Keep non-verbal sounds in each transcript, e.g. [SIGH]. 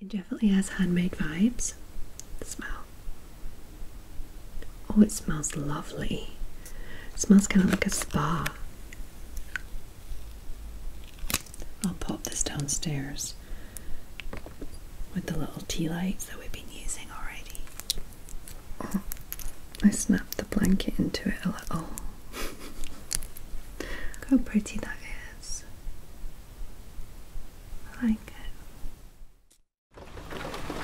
It definitely has handmade vibes. The smell. Oh, it smells lovely. smells kind of like a spa. I'll pop this downstairs with the little tea lights that we've been using already. I snapped the blanket into it a little. [LAUGHS] Look how pretty that is. I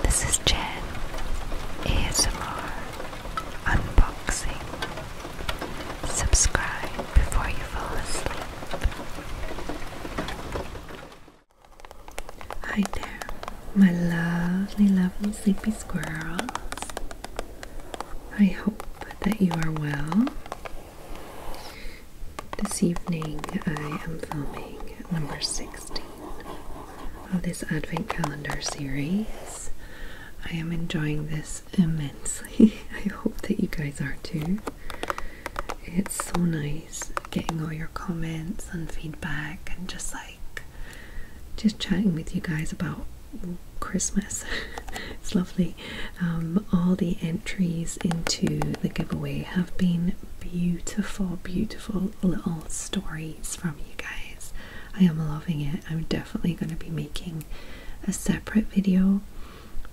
This is Jen ASMR Unboxing. Subscribe before you fall asleep. Hi there, my lovely, lovely sleepy squirrels. I hope that you are well. This evening I am filming number 16 of this Advent calendar series. I am enjoying this immensely. [LAUGHS] I hope that you guys are too. It's so nice getting all your comments and feedback and just like just chatting with you guys about Christmas. [LAUGHS] it's lovely. Um, all the entries into the giveaway have been beautiful, beautiful little stories from you guys. I am loving it. I'm definitely going to be making a separate video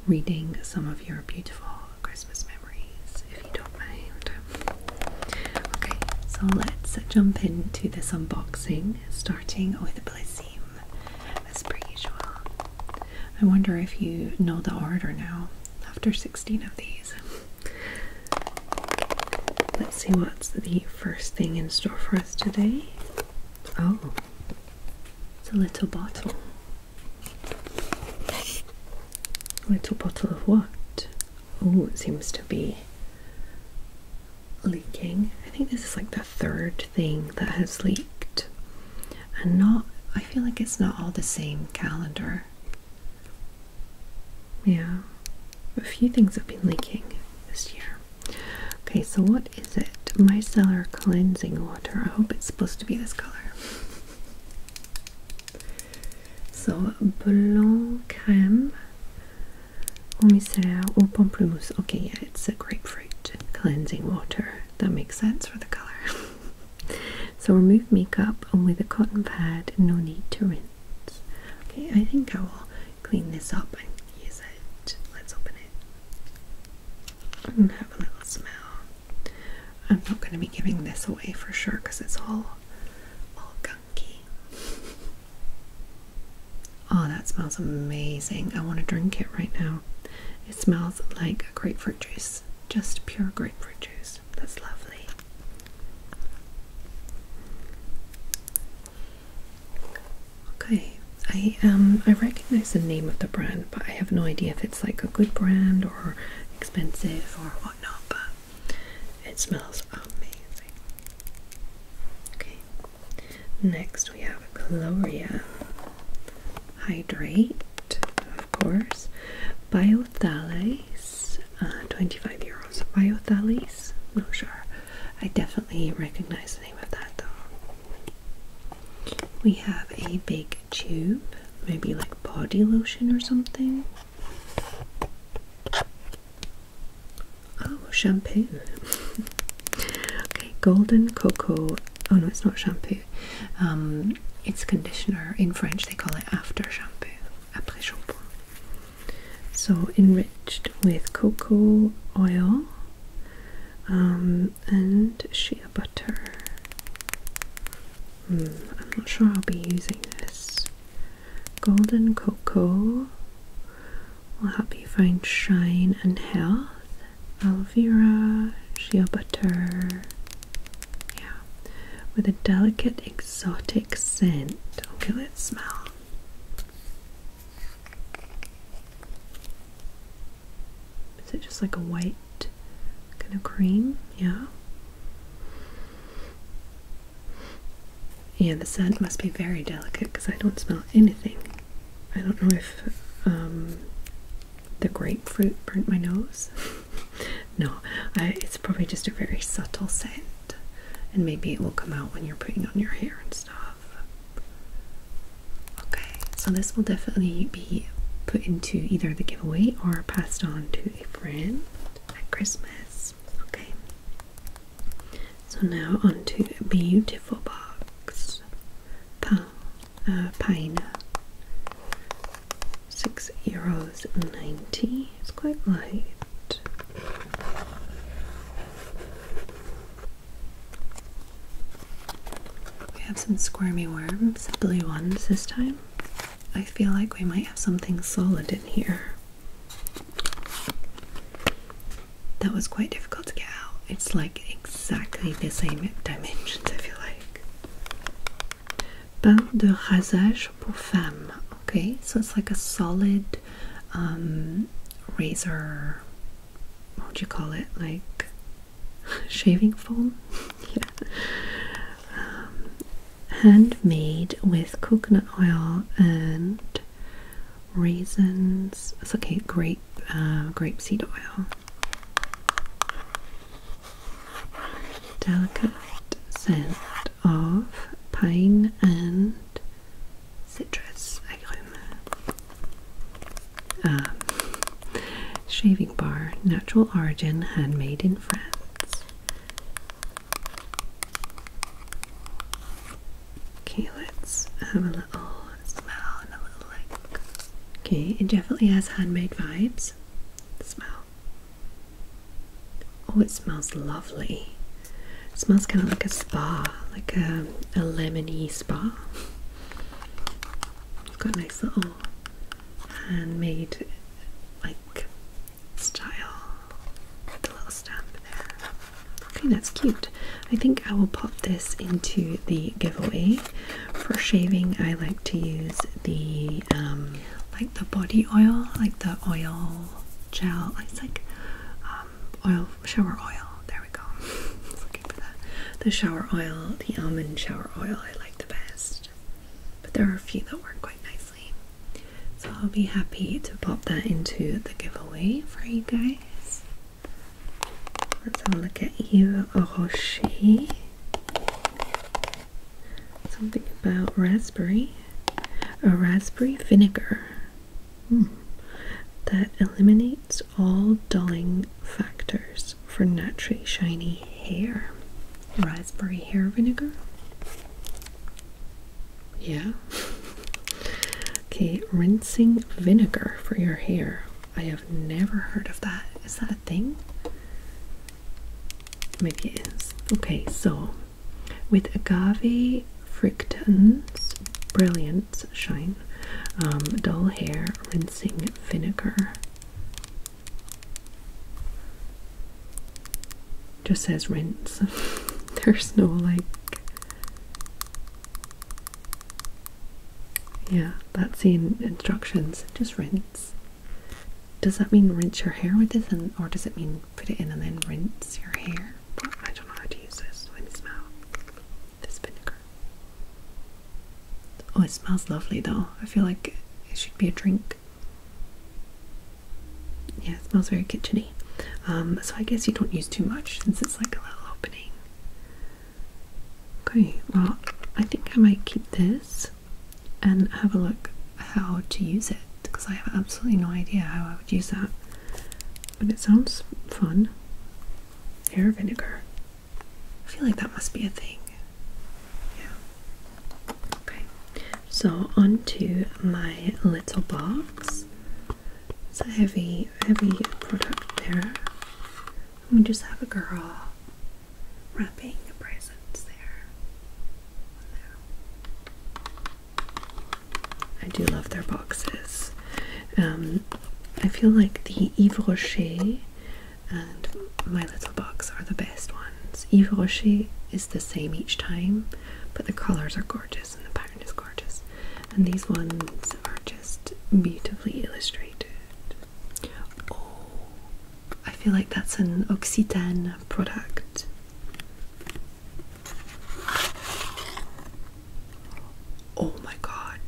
reading some of your beautiful Christmas memories, if you don't mind. Okay, so let's jump into this unboxing, starting with Blissey as per usual. I wonder if you know the order now after 16 of these. Let's see what's the first thing in store for us today. Oh, it's a little bottle. A little bottle of what? Oh, it seems to be leaking. I think this is like the third thing that has leaked and not I feel like it's not all the same calendar. Yeah. A few things have been leaking this year. Okay, so what is it? Micellar cleansing water. I hope it's supposed to be this color. [LAUGHS] So blanc crème au micellar au pamplemousse. Okay, yeah, it's a grapefruit cleansing water. That makes sense for the colour. [LAUGHS] so remove makeup and with a cotton pad, no need to rinse. Okay, I think I will clean this up and use it. Let's open it and have a little smell. I'm not going to be giving this away for sure because it's all, all gunky. [LAUGHS] Oh, that smells amazing. I want to drink it right now. It smells like grapefruit juice, just pure grapefruit juice. That's lovely. Okay, I um I recognize the name of the brand, but I have no idea if it's like a good brand or expensive or whatnot. But it smells amazing. Okay, Next, we have Gloria. Hydrate, of course. Biothales, uh, 25 euros. Biothales? Not sure. I definitely recognize the name of that though. We have a big tube, maybe like body lotion or something. Oh, shampoo. [LAUGHS] Okay, golden cocoa. Oh no, it's not shampoo. Um, it's conditioner. In French, they call it after shampoo, après shampoing. So enriched with cocoa oil um, and shea butter. Hmm, I'm not sure I'll be using this. Golden cocoa will help you find shine and health. Aloe vera, shea butter. Yeah. With a delicate exotic scent. Okay, let's smell. Is it just like a white kind of cream? Yeah. Yeah, the scent must be very delicate because I don't smell anything. I don't know if um, the grapefruit burnt my nose. [LAUGHS] no, it's probably just a very subtle scent, and maybe it will come out when you're putting on your hair and stuff. Okay, so this will definitely be put into either the giveaway or passed on to a friend at Christmas. Okay, so now onto a beautiful box pa, uh, Pina. Six euros ninety. It's quite light. We have some squirmy worms, blue ones this time. I feel like we might have something solid in here that was quite difficult to get out. It's like exactly the same dimensions, I feel like. Pain de rasage pour femme. Okay, so it's like a solid um, razor. What do you call it? Like [LAUGHS] shaving foam? [LAUGHS] Um, handmade with coconut oil and raisins. okay, grape, uh, grape seed oil. Delicate scent of pine and citrus agrume. shaving bar, natural origin, handmade in France. Okay, let's have a little smell and a little lick. Okay, it definitely has handmade vibes. Smell. Oh, it smells lovely. smells kind of like a spa, like a, a lemony spa. It's got a nice little handmade like style a little stamp there. Okay, that's cute. I think I will pop this into the giveaway. For shaving, I like to use the um, like the body oil, like the oil gel. It's like um, oil shower oil. There we go. looking [LAUGHS] for that. The shower oil, the almond shower oil. I like the best, but there are a few that work quite nicely. So I'll be happy to pop that into the giveaway for you guys. Let's have a look at Yves Rocher. Something about raspberry. A raspberry vinegar. Hmm. That eliminates all dulling factors for naturally shiny hair. Raspberry hair vinegar? Yeah. [LAUGHS] Okay, rinsing vinegar for your hair. I have never heard of that. Is that a thing? Maybe it is. Okay, so with agave fructans, brilliance, shine, um, dull hair, rinsing vinegar. Just says rinse. [LAUGHS] There's no like yeah, that's the in instructions. Just rinse. Does that mean rinse your hair with this, and, or does it mean put it in and then rinse your hair? I don't know how to use this it smells. This vinegar. Oh, it smells lovely though. I feel like it should be a drink. Yeah, it smells very kitcheny. Um, so I guess you don't use too much since it's like a little open Okay, well, I think I might keep this and have a look how to use it because I have absolutely no idea how I would use that. But it sounds fun. Hair vinegar. I feel like that must be a thing. Yeah. Okay, so on to my little box. It's a heavy, heavy product there. We just have a girl wrapping the presents there. I do love their boxes. Um, I feel like the Yves Rocher and My Little Box are the best ones. Yves Rocher is the same each time, but the colors are gorgeous and the pattern is gorgeous. And these ones are just beautifully illustrated. Oh, I feel like that's an Occitan product. Oh my god,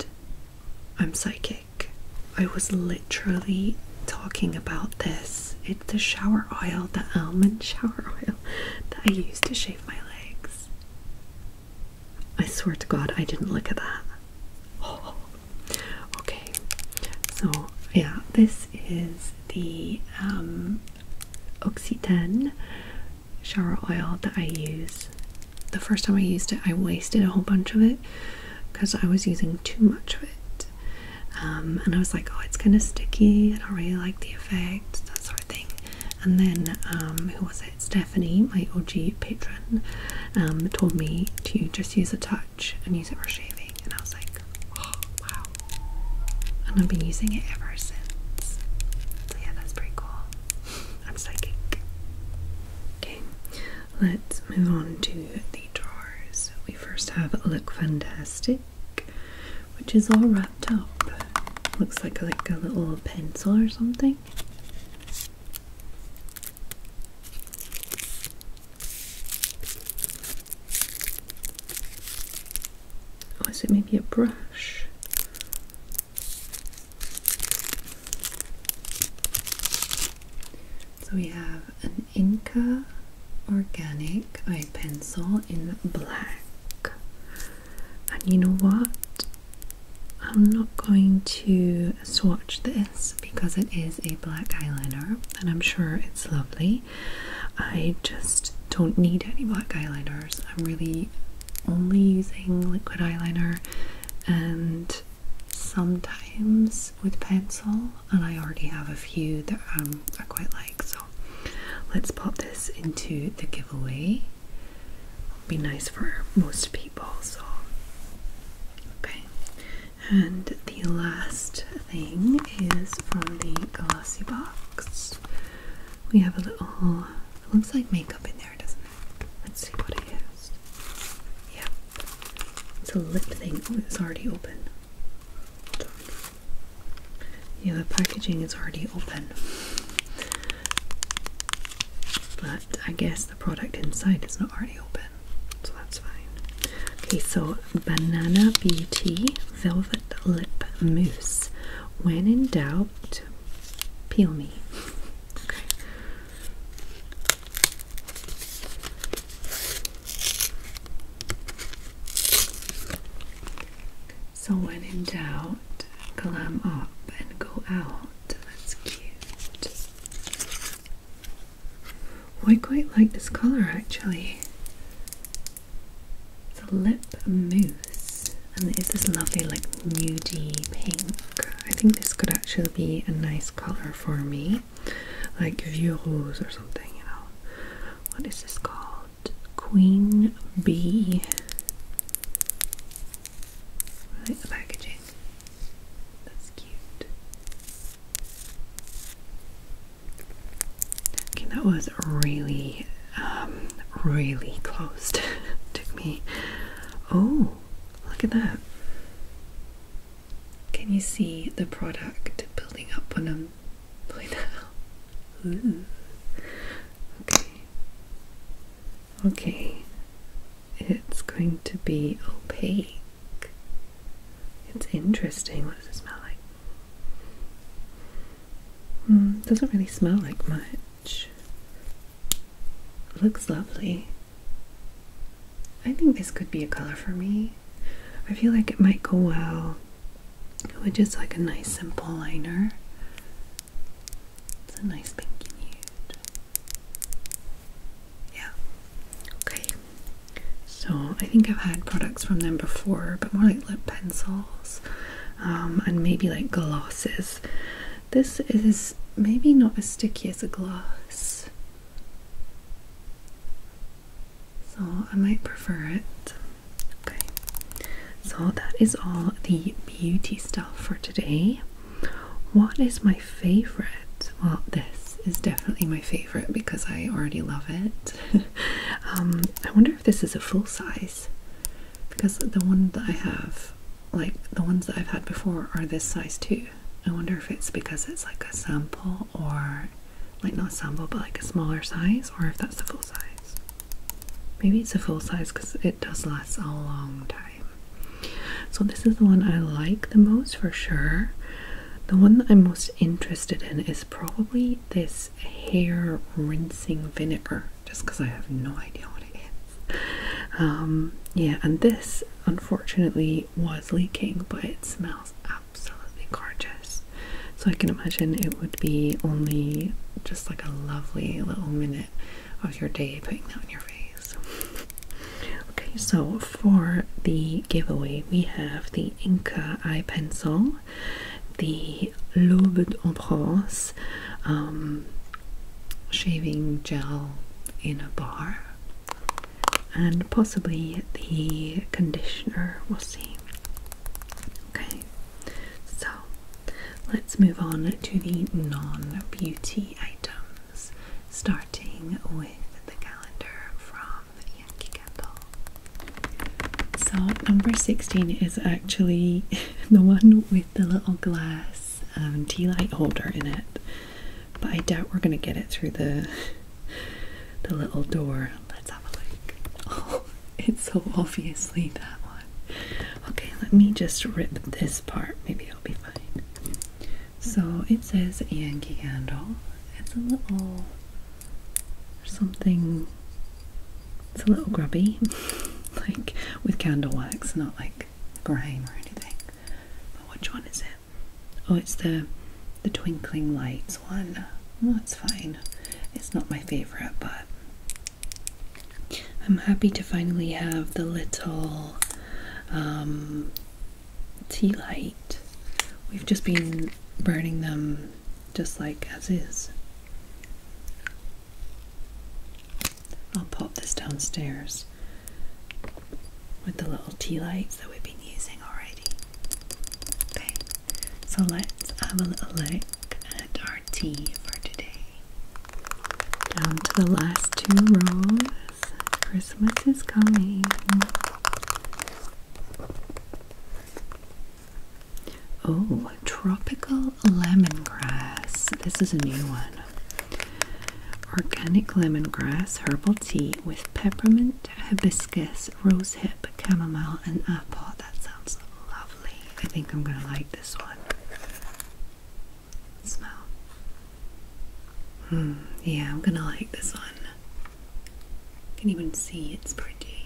I'm psychic. I was literally talking about this. It's the shower oil, the almond shower [LAUGHS] oil that I use to shave my legs. I swear to God, I didn't look at that. [GASPS] okay. So, yeah, this is the um, shower oil that I use. The first time I used it, I wasted a whole bunch of it because I was using too much of it. Um, and I was like, oh, it's kind of sticky. I don't really like the effect, that sort of thing. And then, um, who was it? Stephanie, my OG patron, um, told me to just use a touch and use it for shaving. And I was like, oh, wow. And I've been using it ever since. So, yeah, that's pretty cool. [LAUGHS] I'm psychic. Okay, let's move on to the drawers. We first have Look Fantastic which is all wrapped up. Looks like like a little pencil or something. Or oh, is it maybe a brush? So we have an Inca organic eye pencil in black and you know what I'm not going to swatch this because it is a black eyeliner and I'm sure it's lovely. I just don't need any black eyeliners. I'm really only using liquid eyeliner and sometimes with pencil, and I already have a few that um, I quite like, so let's pop this into the giveaway. It'll be nice for most people, so okay. And the last thing is from the glossy box. We have a little it looks like makeup in there, doesn't it? Let's see what it is. Yep. It's a lip thing. it's already open. Yeah, the packaging is already open, but I guess the product inside is not already open, so that's fine. Okay, so Banana Beauty Velvet Lip Mousse. When in doubt, peel me. Okay. So when in doubt, glam up and go out. That's cute. Oh, I quite like this colour actually. It's a lip mousse and it is this lovely like nudie pink. I think this could actually be a nice colour for me. Like vieux rose or something, you know. What is this called? Queen Bee. I like the packaging. That's cute. Okay, that was really, um, really close. [LAUGHS] Took me. Oh, look at that. Can you see the product building up on them? um, point Okay. Okay. It's going to be opaque. It's interesting. What does it smell like? Mm, doesn't really smell like much. Looks lovely. I think this could be a color for me. I feel like it might go well which is like a nice simple liner. It's a nice pinky nude. Yeah. Okay. So I think I've had products from them before, but more like lip pencils um, and maybe like glosses. This is maybe not as sticky as a gloss. So I might prefer it. Okay. So that is all the beauty stuff for today. What is my favorite? Well, this is definitely my favorite because I already love it. [LAUGHS] um, I wonder if this is a full size because the ones that I have, like the ones that I've had before, are this size too. I wonder if it's because it's like a sample or like not sample but like a smaller size or if that's the full size. Maybe it's a full size because it does last a long time. So, this is the one I like the most for sure. The one that I'm most interested in is probably this hair rinsing vinegar, just because I have no idea what it is. Um, yeah, and this unfortunately was leaking, but it smells absolutely gorgeous. So I can imagine it would be only just like a lovely little minute of your day putting that on your face. [LAUGHS] okay, so for the giveaway, we have the Inca Eye Pencil, the L'Aube en um, shaving gel in a bar, and possibly the conditioner. We'll see. Okay, so let's move on to the non beauty items, starting with the calendar from Yankee Candle. So, number 16 is actually [LAUGHS] the one with the little glass um, tea light holder in it, but I doubt we're going to get it through the. [LAUGHS] The little door Let's have a look. [LAUGHS] it's so obviously that one. Okay, let me just rip this part. Maybe i will be fine. So it says Yankee Candle. It's a little something. It's a little grubby, [LAUGHS] like with candle wax, not like grime or anything. But which one is it? Oh, it's the the twinkling lights one. Well, it's fine. It's not my favorite, but I'm happy to finally have the little um, tea light. We've just been burning them just like as is. I'll pop this downstairs with the little tea lights that we've been using already. Okay, so let's have a little look at our tea for today. Down to the last two rows. Christmas is coming. Oh, tropical lemongrass. This is a new one. Organic lemongrass herbal tea with peppermint mint, hibiscus, rosehip, chamomile, and apple. That sounds lovely. I think I'm gonna like this one. Smell. Hmm, yeah, I'm gonna like this one. Can even see it's pretty.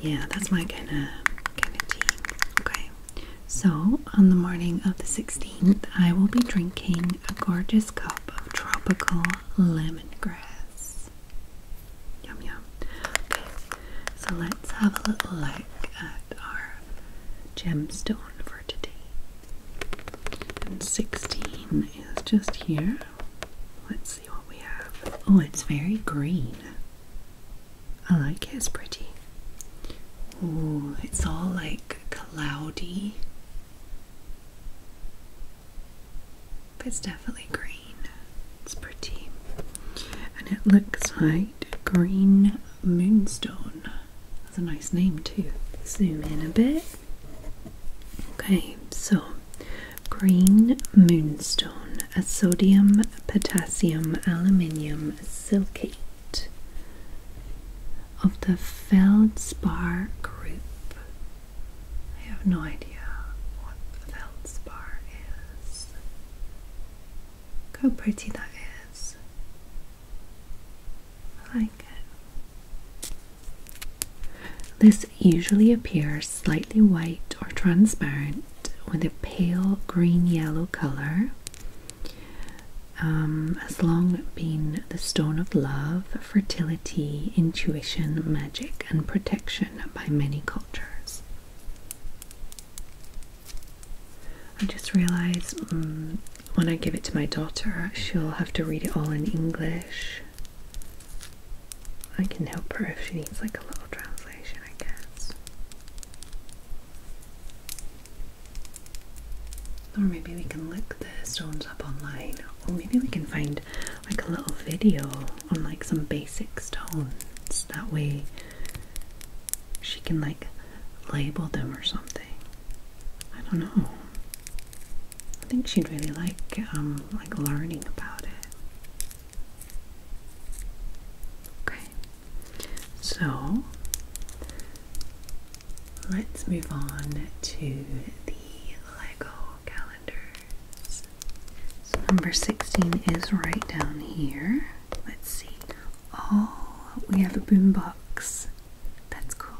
Yeah, that's my kind of kind of tea. Okay, so on the morning of the 16th, I will be drinking a gorgeous cup of tropical lemongrass. Yum yum. Okay, so let's have a little look at our gemstone for today. And 16 is just here. Let's see what we have. Oh, it's very green. I like it, it's pretty. Oh, it's all like cloudy it's definitely green. It's pretty. And it looks like green moonstone. That's a nice name too. Zoom in a bit. Okay, so green moonstone, a sodium potassium aluminium silicate of the feldspar group. I have no idea what feldspar is. how pretty that is. I like it. This usually appears slightly white or transparent with a pale green yellow colour. has um, long been the stone of love fertility, intuition, magic, and protection by many cultures. I just realised mm, when I give it to my daughter, she'll have to read it all in English. I can help her if she needs like a little translation, I guess. Or maybe we can look the stones up online. Or maybe we can find like a little video on like some basic stones. That way she can like label them or something. I don't know. I think she'd really like um, like learning about it. Okay. So Let's move on to the Lego calendars. So number 16 is right down here. Let's see. Oh, we have a boombox. That's cool.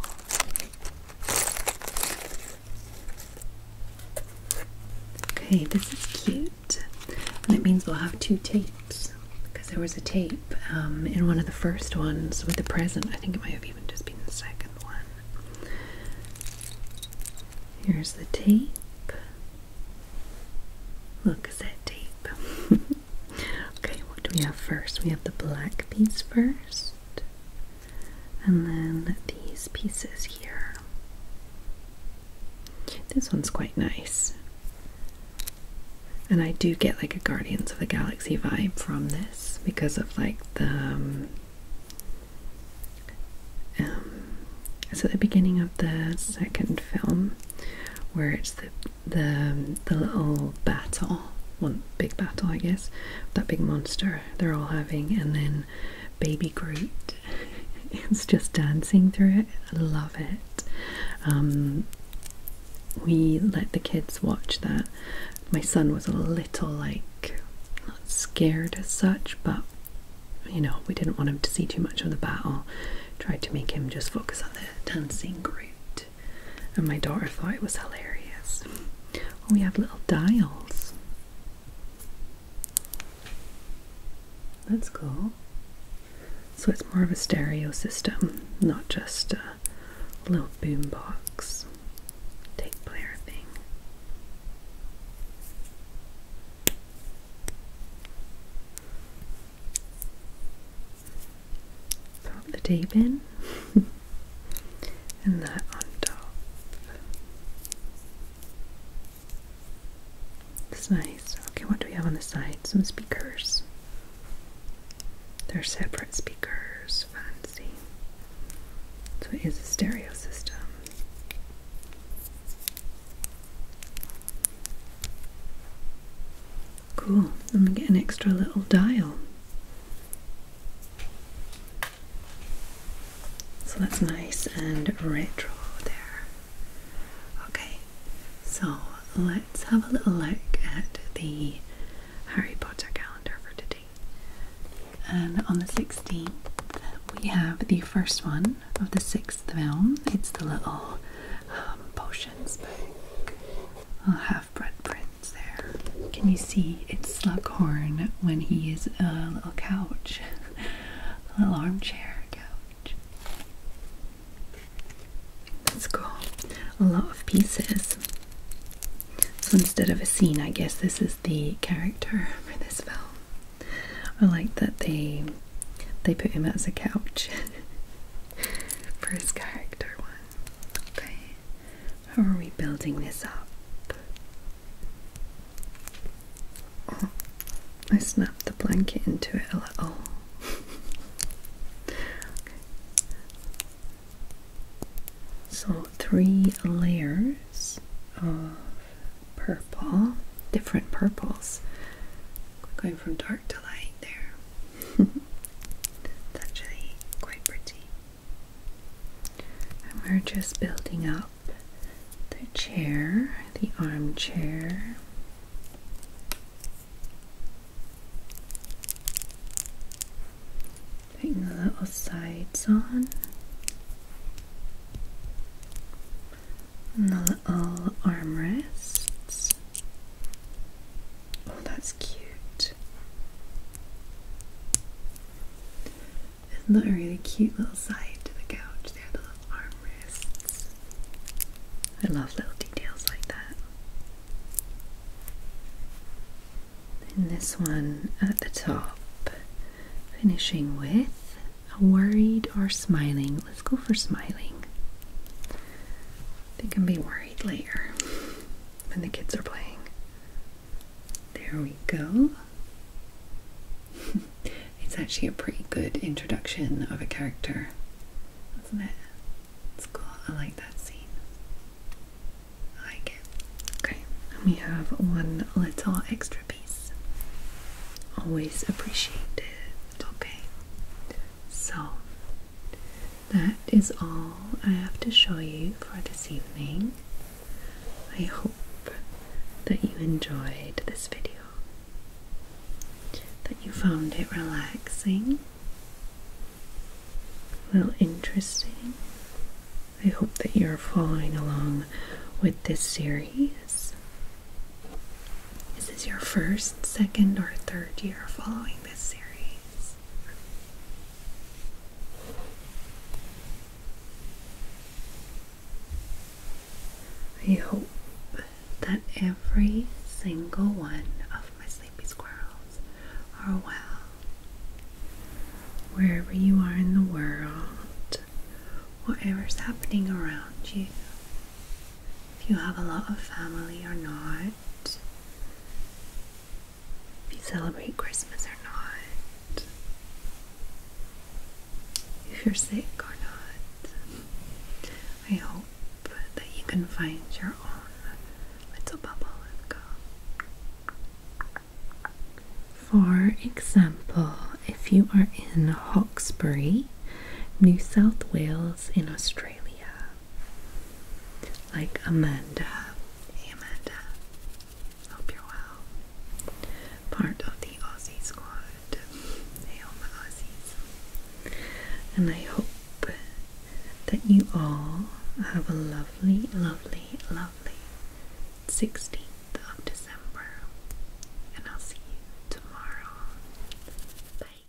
Okay, this is cute. And it means we'll have two tapes because there was a tape um, in one of the first ones with the present. I think it might have even just been the second one. Here's the tape. Look, is that tape? [LAUGHS] okay, what do we have first? We have the black piece first, and then these pieces here. This one's quite nice. And I do get like a Guardians of the Galaxy vibe from this because of like the um, um, so the beginning of the second film where it's the the the little battle, one big battle, I guess, that big monster they're all having, and then Baby Groot [LAUGHS] is just dancing through it. I love it. Um, we let the kids watch that. My son was a little like not scared as such, but you know, we didn't want him to see too much of the battle. Tried to make him just focus on the dancing group, And my daughter thought it was hilarious. Oh, we have little dials. That's cool. So it's more of a stereo system, not just little boombox tape player thing. Pop the tape in, [LAUGHS] and that on top. It's nice. Okay, what do we have on the side? Some speakers. They're separate speakers, fancy. So it is a stereo system. Cool. Let me get an extra little dial. So that's nice and retro there. Okay, so let's have a little look at the Harry Potter calendar for today. And on the 16th, we have the first one of the sixth film. It's the little um, potions book. I'll have bread there. Can you see it's Slughorn when he is a little couch, [LAUGHS] a little armchair couch? That's cool. A lot of pieces. So instead of a scene, I guess this is the character [LAUGHS] for this film. I like that they they put him as a couch [LAUGHS] for his character one. Okay. How are we building this up? Oh, I snapped the blanket into it a little. [LAUGHS] So, three layers of purple, different purples, going from dark to light there. [LAUGHS] actually quite pretty. we're just building up the chair, the armchair. Putting the little sides on. the little armrests. Oh, that's cute. Isn't that a really cute little side to the couch? There, the little armrests. I love little details like that. Then this one at the top, finishing with a worried or smiling. Let's go for smiling. They can be worried later when the kids are playing. There we go. [LAUGHS] it's actually a pretty good introduction of a character, isn't it? It's cool. I like that scene. I like it. Okay, and we have one little extra piece. Always appreciated. Okay, so that is all I have to show you for this evening. I hope that you enjoyed this video, that you found it relaxing, well, interesting. I hope that you're following along with this series. Is this your first, second, or third year following this series? I hope that every single one of my sleepy squirrels are oh, well. Wherever you are in the world, whatever's happening around you, if you have a lot of family or not, if you celebrate Christmas or not, if you're sick or not, I hope that you can find your own little bubble of calm. For example, if you are in Hawkesbury, New South Wales, in Australia, like Amanda, Amanda, hope you're well, part of the Aussie squad, hey all my Aussies, and I hope that you all have a lovely, lovely, lovely 16th of December, and I'll see you tomorrow. Bye.